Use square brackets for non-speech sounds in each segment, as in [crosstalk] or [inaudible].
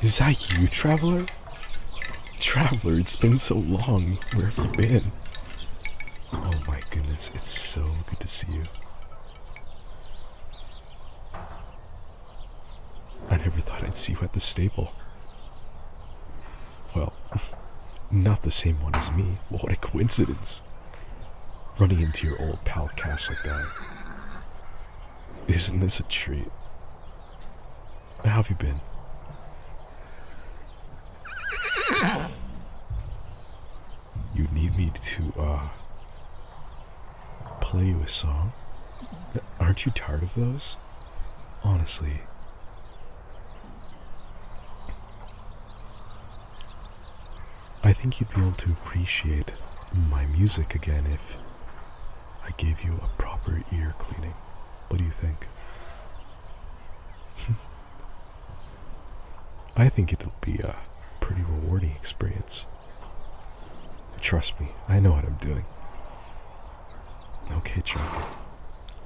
Is that you, Traveler? Traveler, it's been so long. Where have you been? Oh my goodness, it's so good to see you. I never thought I'd see you at the stable. Well, [laughs] not the same one as me. What a coincidence. Running into your old pal Cass like that. Isn't this a treat? How have you been? You need me to, uh, play you a song? Aren't you tired of those? Honestly. I think you'd be able to appreciate my music again if I gave you a proper ear cleaning. What do you think? [laughs] I think it'll be a pretty rewarding experience. Trust me, I know what I'm doing. Okay, Charlie.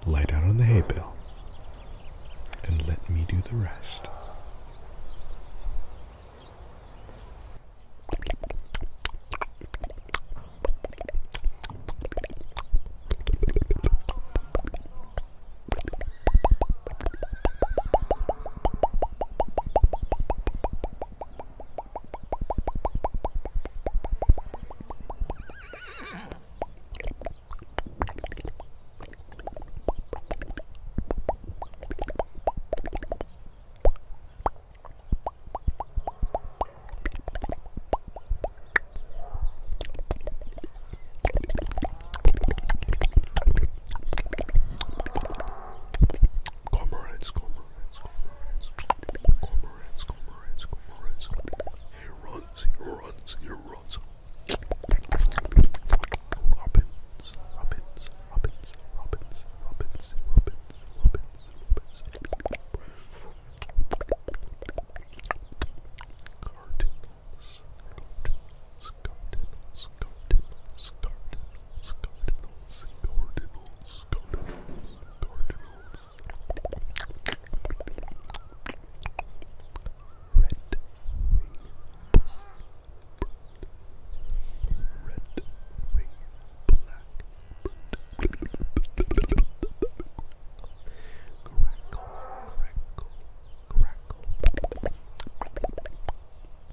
lie down on the hay bale and let me do the rest. Cormorants, cormorants, cormorants. Cormorants, cormorants, cormorants, cormorants. He runs, he runs, he runs. Robins, robins, robins, robins, robins, robins, robins, robins. Cardinals, cardinals, cardinals, cardinals, cardinals, cardinals, cardinals. Cardinals, Cardinals, Cardinals. Red wing Red wing black Crackle, crackle, crackle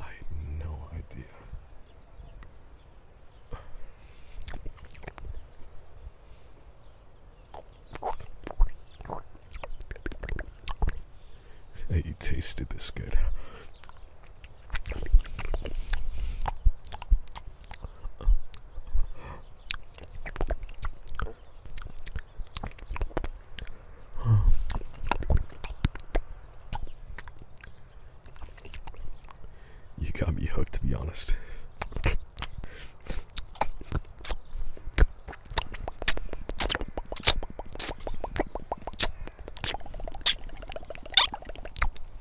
I had no idea. That you tasted this good. You got me hooked, to be honest.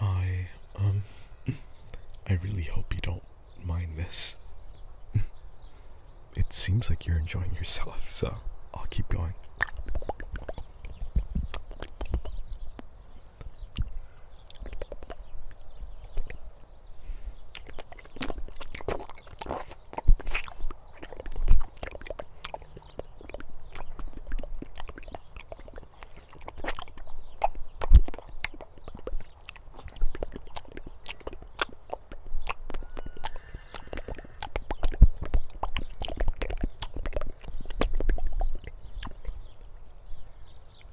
I, um, I really hope you don't mind this. [laughs] It seems like you're enjoying yourself, so I'll keep going.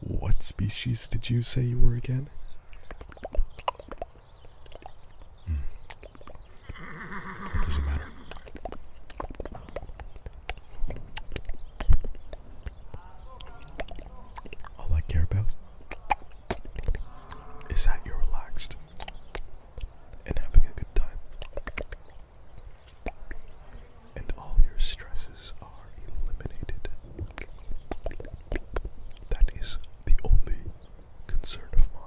What species did you say you were again? Hmm. All I care about is that you're relaxed and having a good time. And all your stresses are eliminated. That is the only concern of mine.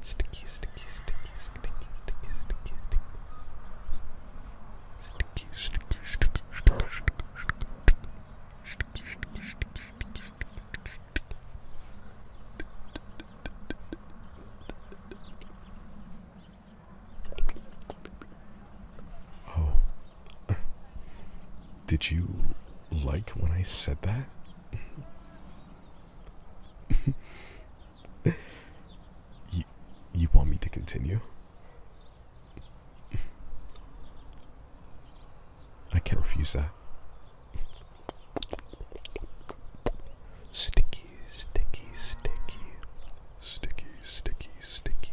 Sticky, sticky, sticky, sticky, sticky, sticky, sticky. Sticky, sticky, sticky, sticky, sticky, sticky, sticky, sticky. Oh. Did you like when I said that? [laughs] you, you want me to continue? I can't refuse that. Sticky, sticky, sticky, sticky, sticky, sticky.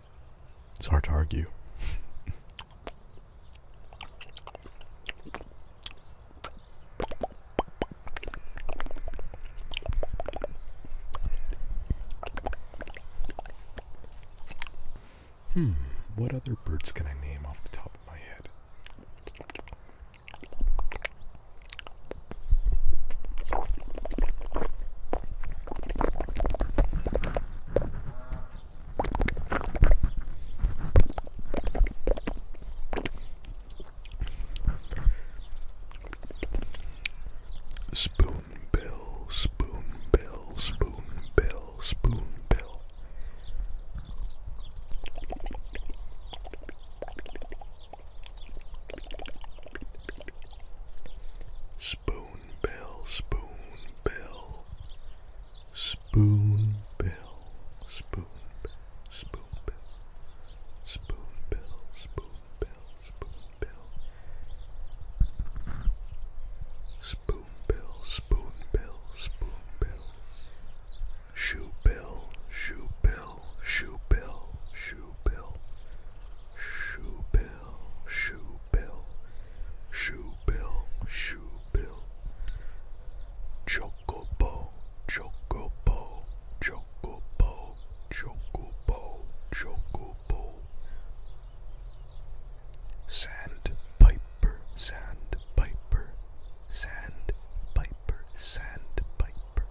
It's hard to argue. hmm, what other birds can I name off the top of my head? Spoonbill, spoonbill, spoonbill, spoonbill. Spoonbill, Spoon Bill, Spoon Bill, Spoon Bill, Spoon Bill, Spoon Bill, Spoon Bill, Spoon Bill, Spoon Bill, Spoon Bill, Spoon Bill, Shoe Bill, Shoe Bill, Shoe Bill, Shoe Bill, Shoe Bill. Bill, Shoe Bill, Shoe Bill, Shoe Bill, Chocobo, Chocobo, Chocobo, Chocobo, Chocobo, Sand Piper, Sand Piper, Sand Piper, Sand Piper,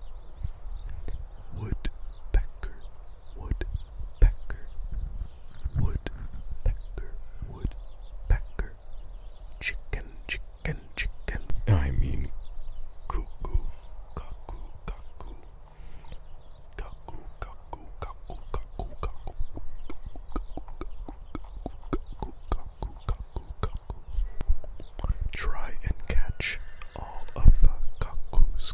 Woodpecker, Woodpecker, woodpecker, woodpecker, chicken, chicken, chicken. I mean, cuckoo, cuckoo, cuckoo, cuckoo, cuckoo, cuckoo, cuckoo, cuckoo, cuckoo, cuckoo, cuckoo. Try and catch all of the cuckoos.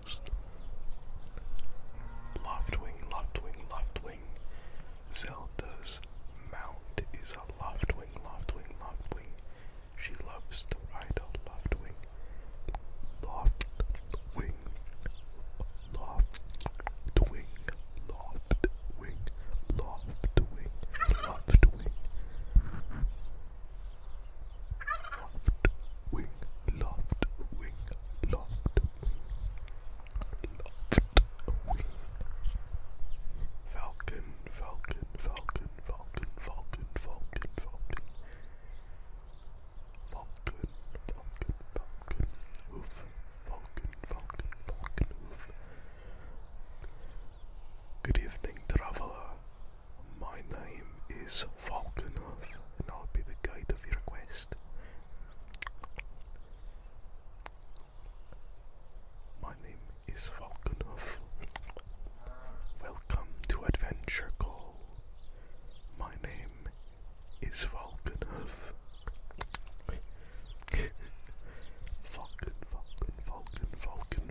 Left wing, left wing, left wing. Zelda's mount is a left wing, left wing, left wing. She loves to ride a left wing. Left wing, left wing, left wing, left wing, left wing. Loft wing, loft wing, loft loft wing. Falcon, falcon, falcon, falcon, falcon, falcon, falcon. Falcon, falcon, falcon, hoof. Falcon, falcon, falcon, hoof. Good evening, traveler. My name is Falconov, and I'll be the guide of your quest. My name is Falconov. Welcome to Adventure Call. My name is Falconov. [laughs] Falcon, Falcon, Falcon, Falcon,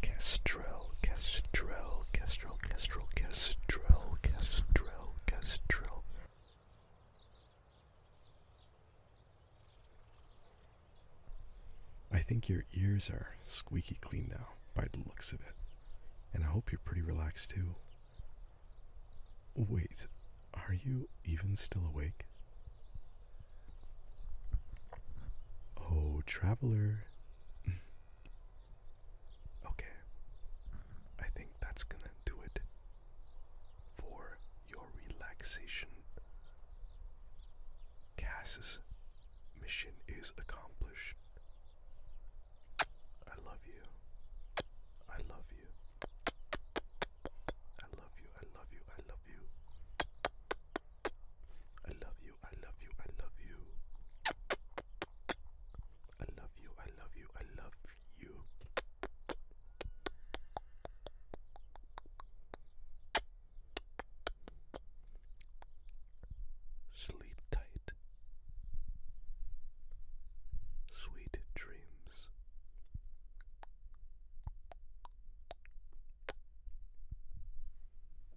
Castrell, Castrell, Castrell, Castrell, Castrell, Castrell, Castrell. I think your ears are squeaky clean now by the looks of it, and I hope you're pretty relaxed too. Wait, are you even still awake? Oh, traveler, [laughs] Okay, I think that's gonna do it for your relaxation. Cass's mission is accomplished. I love you. I love you. I love you. I love you. I love you. I love you, I love you, I love you. I love you, I love you, I love you. Sleep tight. Sweet dreams.